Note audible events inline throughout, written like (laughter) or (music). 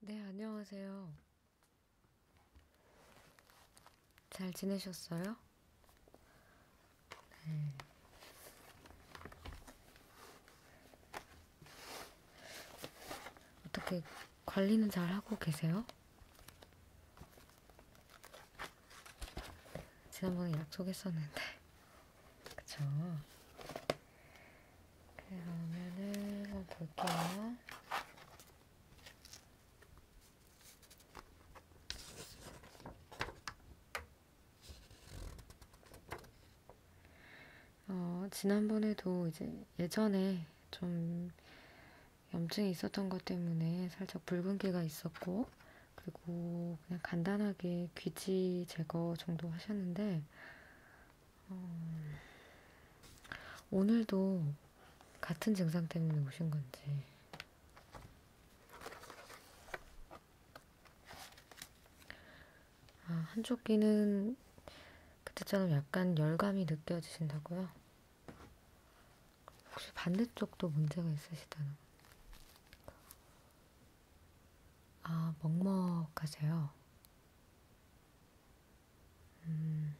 네, 안녕하세요. 잘 지내셨어요? 네. 어떻게 관리는 잘 하고 계세요? 지난번에 약속했었는데, (laughs) 그쵸? 그러면은 한번 볼게요. 어, 지난번에도 이제 예전에 좀 염증이 있었던 것 때문에 살짝 붉은기가 있었고, 그리고 그냥 간단하게 귀지 제거 정도 하셨는데, 음, 오늘도 같은 증상 때문에 오신 건지. 아, 한쪽 귀는 그때처럼 약간 열감이 느껴지신다고요? 혹시 반대쪽도 문제가 있으시다는? 아, 먹먹하세요. 음,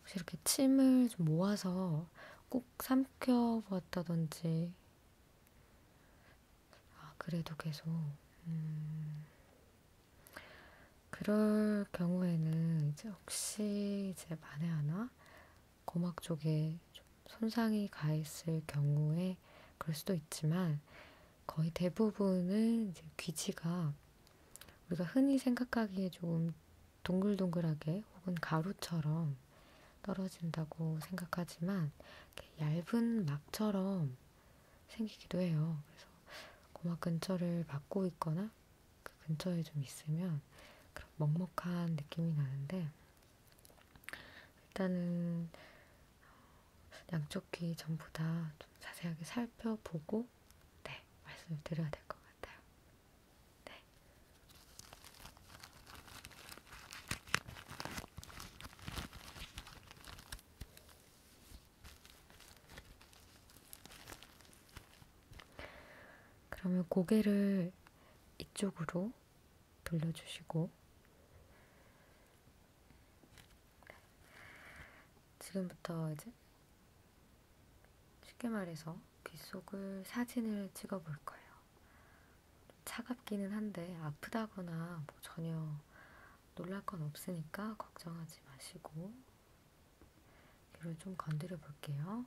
혹시 이렇게 침을 좀 모아서 꼭 삼켜보았다든지, 아, 그래도 계속, 음, 그럴 경우에는 이제 혹시 이제 만에 하나 고막 쪽에 좀 손상이 가있을 경우에 그럴 수도 있지만, 거의 대부분은 이제 귀지가 우리가 흔히 생각하기에 조금 동글동글하게 혹은 가루처럼 떨어진다고 생각하지만 얇은 막처럼 생기기도 해요. 그래서 고막 근처를 막고 있거나 그 근처에 좀 있으면 그런 먹먹한 느낌이 나는데 일단은 양쪽 귀 전부 다 좀 자세하게 살펴보고 네, 말씀을 드려야 될 것 같아요. 네. 그러면 고개를 이쪽으로 돌려주시고 지금부터 이제 쉽게 말해서 귓속을 사진을 찍어 볼 거예요. 차갑기는 한데 아프다거나 뭐 전혀 놀랄 건 없으니까 걱정하지 마시고 이를 좀 건드려 볼게요.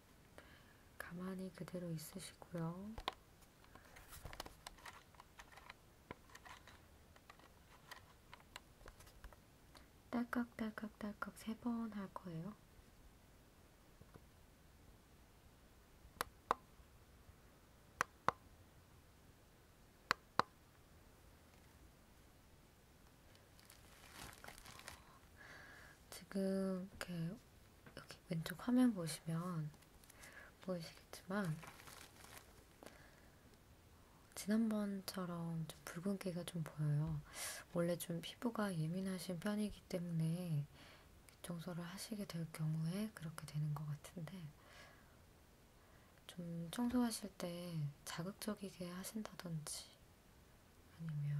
가만히 그대로 있으시고요. 딸깍딸깍딸깍 세 번 할 거예요. 지금 이렇게 여기 왼쪽 화면 보시면 보이시겠지만 지난번처럼 좀 붉은기가 좀 보여요. 원래 좀 피부가 예민하신 편이기 때문에 청소를 하시게 될 경우에 그렇게 되는 것 같은데 좀 청소하실 때 자극적이게 하신다든지 아니면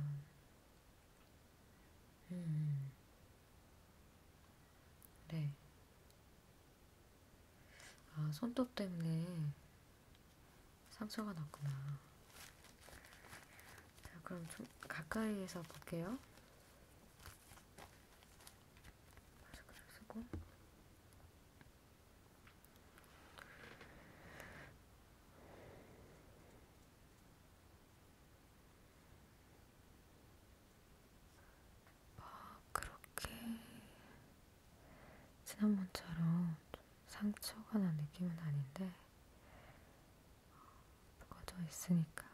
음. 네. 아, 손톱 때문에 상처가 났구나. 자, 그럼 좀 가까이에서 볼게요. 마스크를 쓰고. 막 그렇게 지난번처럼 좀 상처가 난 느낌은 아닌데 어, 꺼져 있으니까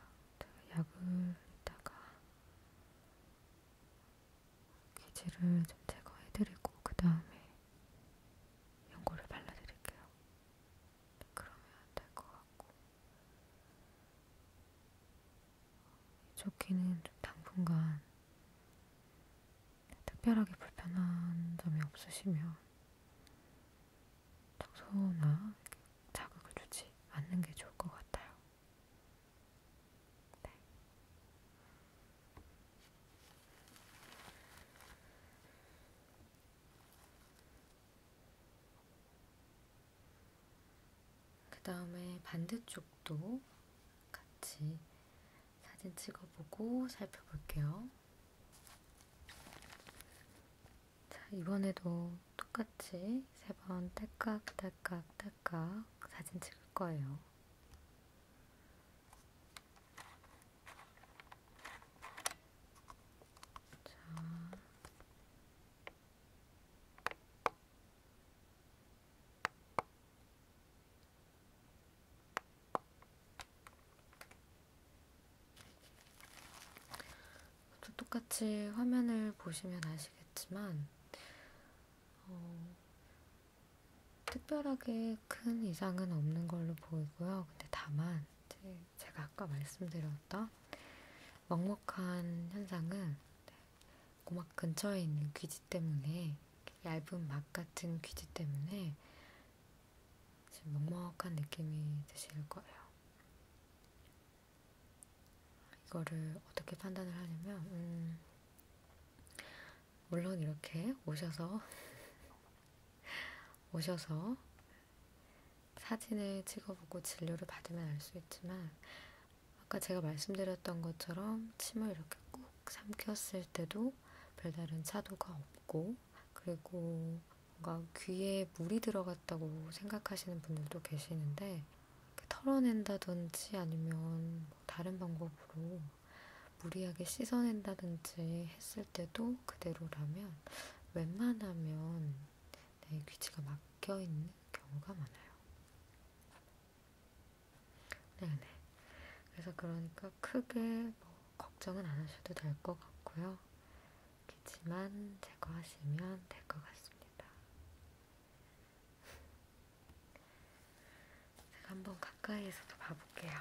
약을 이따가 기질을 좀 제거해드리고 그 다음에 연고를 발라드릴게요. 그러면 될 것 같고 좋기는 좀 당분간 특별하게 불편한 점이 없으시면 청소나 자극을 주지 않는 게 좋을 것 같아요. 네. 그 다음에 반대쪽도 같이 사진 찍어보고 살펴볼게요. 자, 이번에도 똑같이 세 번 딸깍딸깍딸깍 사진 찍을 거예요. 또 똑같이 화면을 보시면 아시겠지만 어, 특별하게 큰 이상은 없는 걸로 보이고요. 근데 다만 이제 제가 아까 말씀드렸던 먹먹한 현상은 네, 고막 근처에 있는 귀지 때문에 얇은 막 같은 귀지 때문에 지금 먹먹한 느낌이 드실 거예요. 이거를 어떻게 판단을 하냐면 음, 물론 이렇게 오셔서 오셔서 사진을 찍어보고 진료를 받으면 알 수 있지만 아까 제가 말씀드렸던 것처럼 침을 이렇게 꾹 삼켰을 때도 별다른 차도가 없고 그리고 뭔가 귀에 물이 들어갔다고 생각하시는 분들도 계시는데 털어낸다든지 아니면 뭐 다른 방법으로 무리하게 씻어낸다든지 했을 때도 그대로라면 웬만하면 네, 귀치가 막혀있는 경우가 많아요. 네네. 그래서 그러니까 크게 뭐 걱정은 안 하셔도 될 것 같고요. 귀치만 제거하시면 될 것 같습니다. (laughs) 제가 한번 가까이에서도 봐볼게요.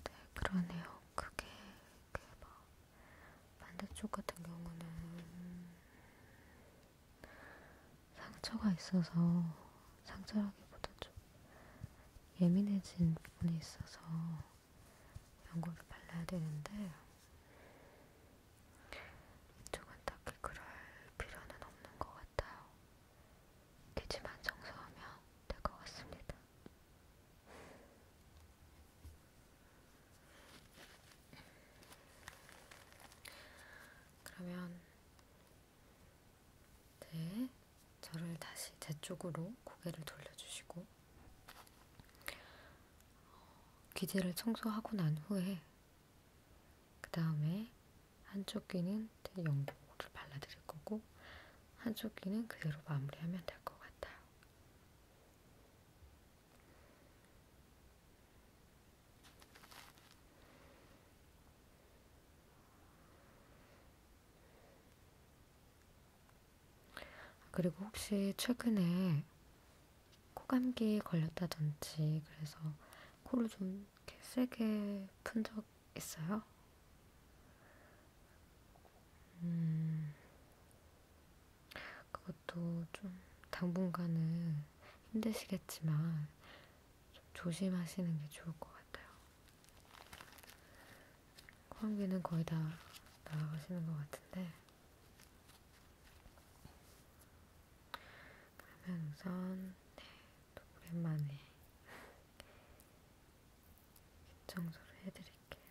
네, 그러네요. 그게, 그게 막, 반대쪽 같은 경우는 상처가 있어서, 상처라기보다 좀 예민해진 부분이 있어서 연고를 발라야 되는데, 이쪽은 딱히 그럴 필요는 없는 것 같아요. 귀지만 청소하면 될 것 같습니다. 그러면 네, 저를 다시 제 쪽으로 고개를 돌려주시고 귀지를 어, 청소하고 난 후에 그 다음에 한쪽 귀는 연고를 발라드릴 거고 한쪽 귀는 그대로 마무리하면 될 것 같아요. 그리고 혹시 최근에 코감기에 걸렸다든지 그래서 코를 좀 이렇게 세게 푼적 있어요? 음, 그것도 좀 당분간은 힘드시겠지만 좀 조심하시는 게 좋을 것 같아요. 환기는 거의 다 나아가시는 것 같은데 그러면 우선 네, 또 오랜만에 청소를 해드릴게요.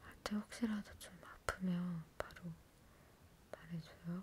할때 혹시라도 좀 아프면 바로 말해줘요.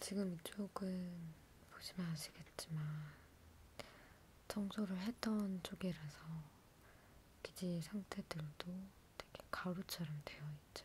지금 이쪽은 보시면 아시겠지만 청소를 했던 쪽이라서 기지 상태들도 되게 가루처럼 되어 있죠.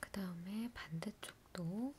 그 다음에 반대쪽도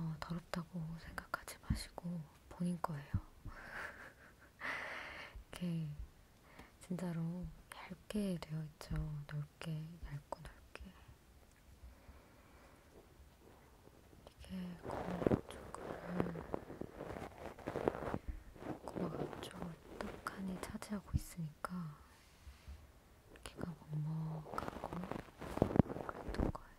어, 더럽다고 생각하지 마시고 본인 거예요. (laughs) 이렇게 진짜로 얇게 되어 있죠. 넓게, 얇고 넓게. 이게 고막 쪽을 고막 앞쪽을 떡하니 차지하고 있으니까 귀가 먹먹하고 그랬던 거예요.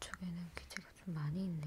이쪽에는 기지가 좀 많이 있네요.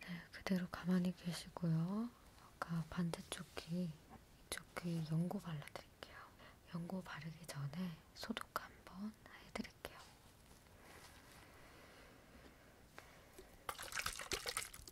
네, 그대로 가만히 계시고요. 아까 반대쪽 귀, 이쪽 귀 연고 발라드릴게요. 연고 바르기 전에 소독 한번 해드릴게요.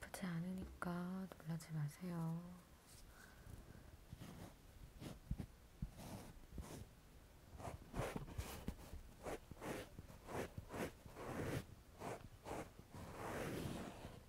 아프지 않으니까 놀라지 마세요.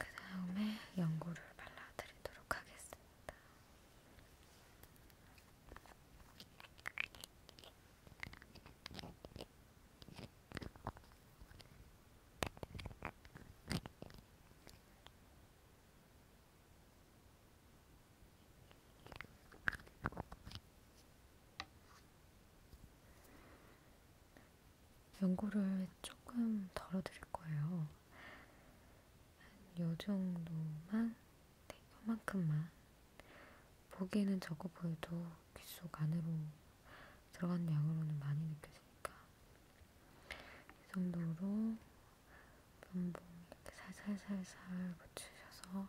그 다음에 연고를 발라드리도록 하겠습니다. 연고를 조금 덜어드릴 거예요. 한 요 정도만, 네, 요만큼만 보기에는 적어 보여도 귓속 안으로 들어간 양으로는 많이 느껴지니까 이 정도로 면봉 이렇게 살살살살 붙이셔서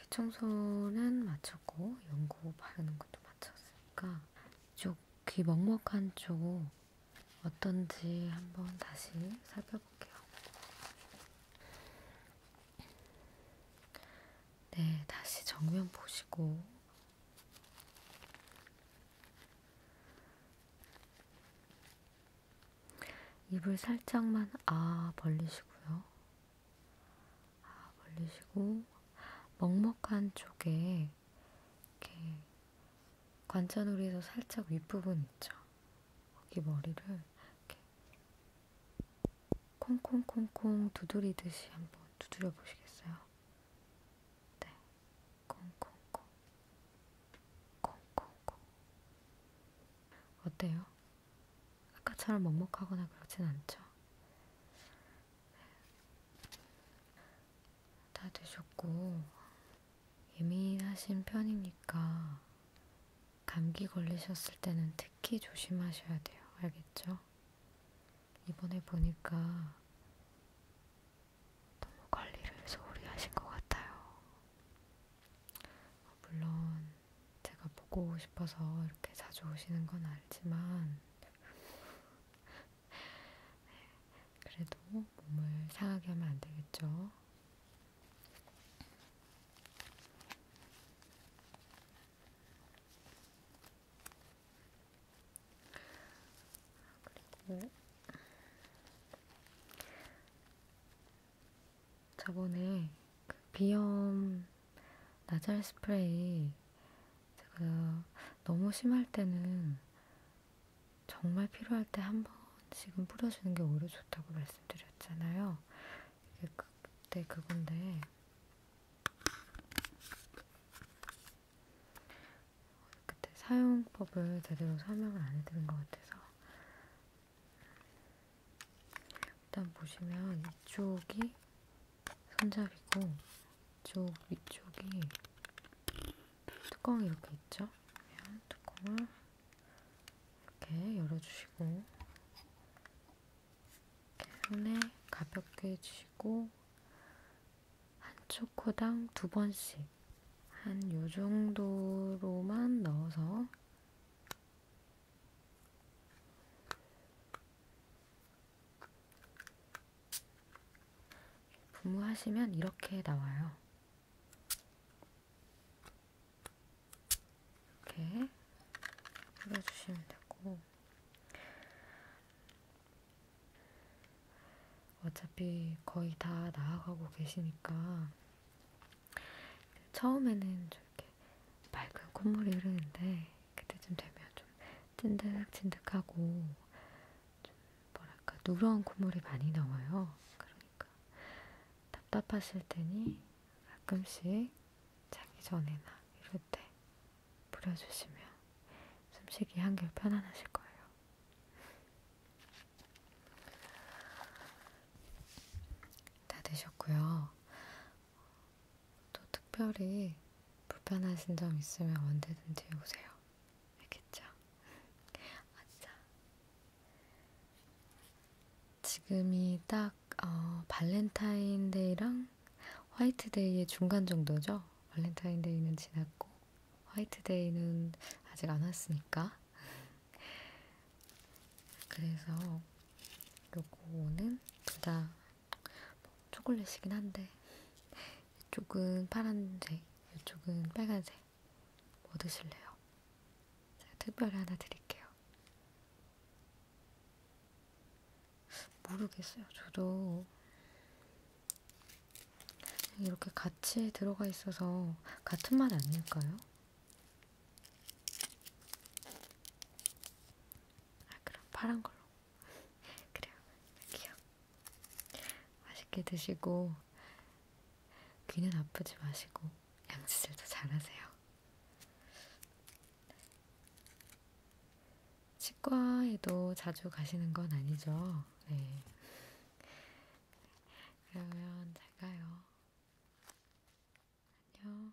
귀청소는 마쳤고 연고 바르는 것도 마쳤으니까 이쪽 귀 먹먹한 쪽 어떤지 한번 다시 살펴볼게요. 네, 다시 정면 보시고 입을 살짝만 아 벌리시고요. 벌리시고 먹먹한 쪽에 이렇게 관자놀이에서 살짝 윗부분 있죠. 거기 머리를 이렇게 콩콩콩콩 두드리듯이 한번 두드려 보시겠어요? 네, 콩콩콩, 콩콩콩. 어때요? 아까처럼 먹먹하거나 그러진 않죠. 네. 다 되셨고, 예민하신 편이니까 감기 걸리셨을 때는 특히 조심하셔야 돼요. 알겠죠? 이번에 보니까 너무 관리를 소홀히 하신 것 같아요. 물론 제가 보고 싶어서 이렇게 자주 오시는 건 알지만 (laughs) 그래도 몸을 상하게 하면 안 되겠죠. 그리고 저번에 그 비염 나잘 스프레이 제가 너무 심할 때는 정말 필요할 때 한 번씩은 뿌려주는 게 오히려 좋다고 말씀드렸잖아요. 이게 그, 그때 그건데 그때 사용법을 제대로 설명을 안 해드린 것 같아서 일단 보시면 이쪽이 손잡이고 쪽 위쪽이 뚜껑이 이렇게 있죠? 뚜껑을 이렇게 열어주시고 이렇게 손에 가볍게 해주시고 한쪽 코당 두 번씩 한 요정도로만 넣어서 분무하시면 이렇게 나와요. 이렇게 뿌려주시면 되고 어차피 거의 다 나아가고 계시니까 처음에는 이렇게 맑은 콧물이 흐르는데 그때쯤 되면 좀 찐득찐득하고 좀 뭐랄까 누런 콧물이 많이 나와요. 그러니까 답답하실 테니 가끔씩 자기 전에나 이럴 때 뿌려주시면 숨쉬기 한결 편안하실 거예요. 다 되셨고요. 또 특별히 불편하신 점 있으면 언제든지 오세요. 알겠죠? (laughs) 아싸. 지금이 딱 어, 발렌타인데이랑 화이트데이의 중간 정도죠? 발렌타인데이는 지났고 화이트데이는 아직 안 왔으니까 (laughs) 그래서 요거는 둘다 뭐 초콜릿이긴 한데 이쪽은 파란색, 이쪽은 빨간색 뭐 드실래요? 제가 특별히 하나 드릴게요. 모르겠어요. 저도 이렇게 같이 들어가 있어서 같은 맛 아닐까요? 아 그럼 파란 걸로. (laughs) 그래요. 여기요. 맛있게 드시고 귀는 아프지 마시고 양치질도 잘하세요. 치과에도 자주 가시는 건 아니죠. 네. 그러면 잘 가요. 안녕.